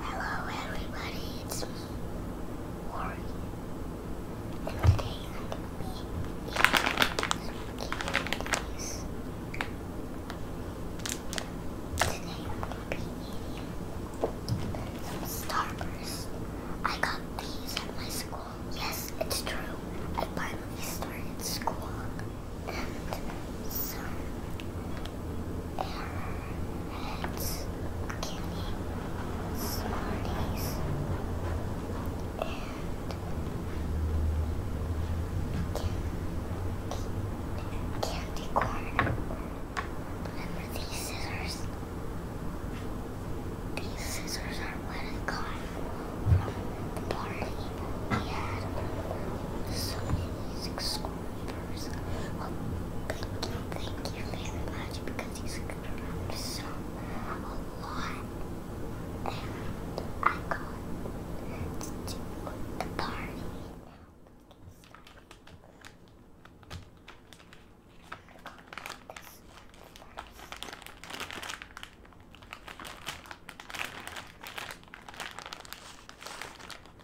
Hello everybody, it's me, Warren, and today I'm going to be eating candies. Today I'm going to be eating some Starburst. I got these at my school. Yes, it's true, I finally started school, some arrowheads, guinea and candy corn. Remember these scissors? These scissors are what I got from the party we had. So it is exquisite first. thank you, thank you very much because he's screwed around so a lot. And I got to do the party.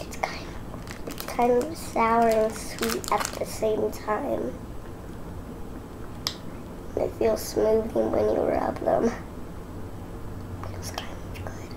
It's kind, of sour and sweet at the same time. it feels smooth when you rub them. Feels kind of good.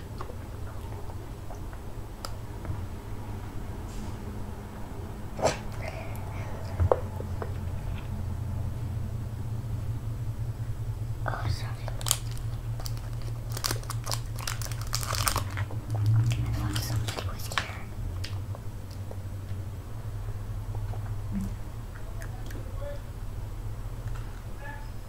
Oh, sorry. I thought somebody was here.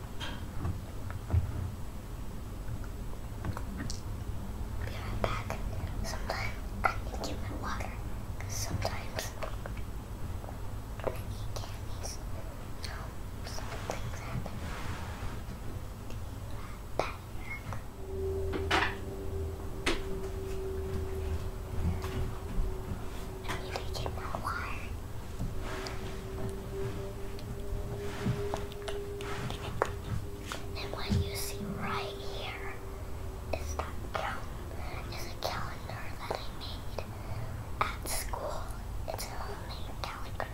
Be right back. Sometimes I need to get my water sometimes I eat candies. No, some things happen. Be right back. I need to get my water. And what you see right here is that a calendar that I made at school. It's a homemade calendar.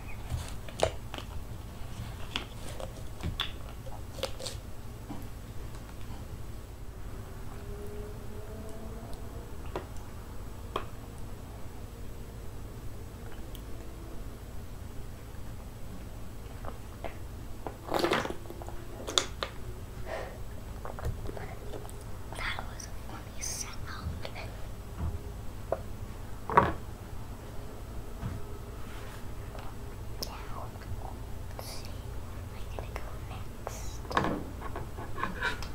That was a funny sound. Now, let's see where am I gonna go next?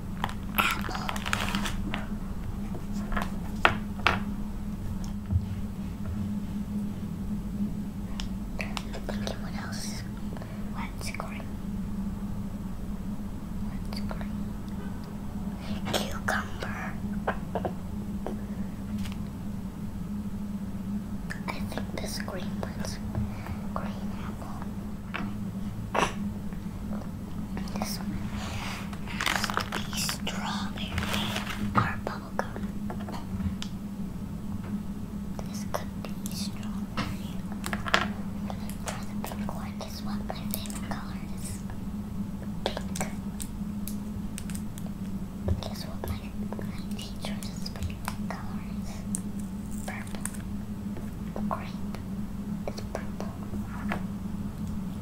apple. Thinking what else? What's green? What's green? Cucumber. I think this green one's green apple. This one has to be strawberry or bubblegum. This could be strawberry. For the pink one, what my favorite color is. Pink. Guess what my, my teacher's favorite color is? Purple. Grape. It's purple.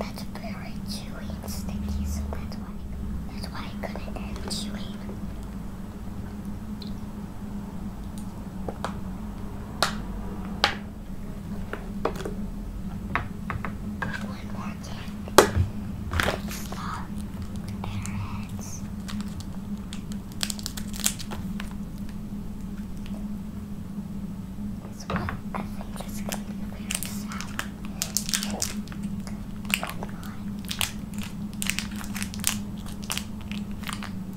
That's very chewy and sticky, so that's why that's why I couldn't end chewing. One more tick. Stop. Arrowheads. what I think this going to be very sad.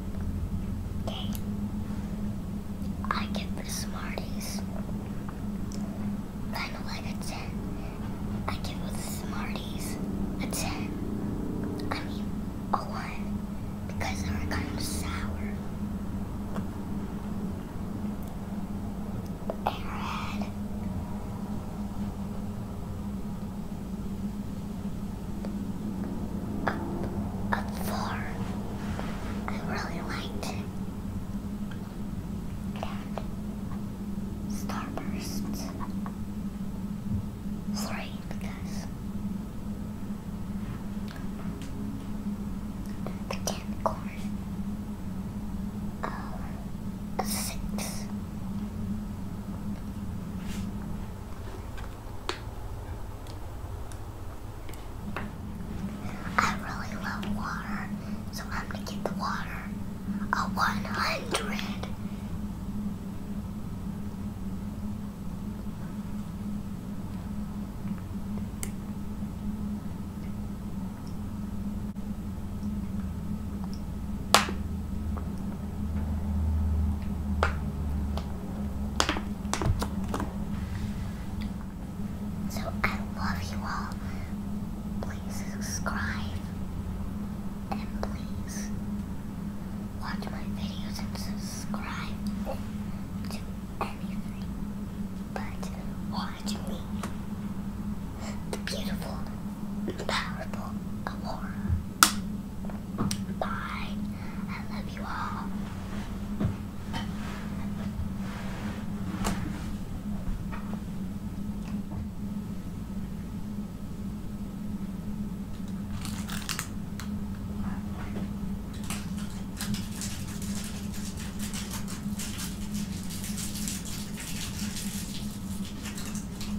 Okay. I get the Smarties. Kind of like a 10. I give the Smarties a 10. I mean, a 1. Because they were kind of sour. Airhead up, up four. I really liked that. Starburst. Three, because candy corn. Uh, I really love water, so I'm gonna give the water a 100. So I love you all. Please subscribe and please watch my videos and subscribe to anything but watch me. The beautiful, powerful Aurora. Bye. I love you all.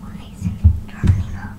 Why is it turning off?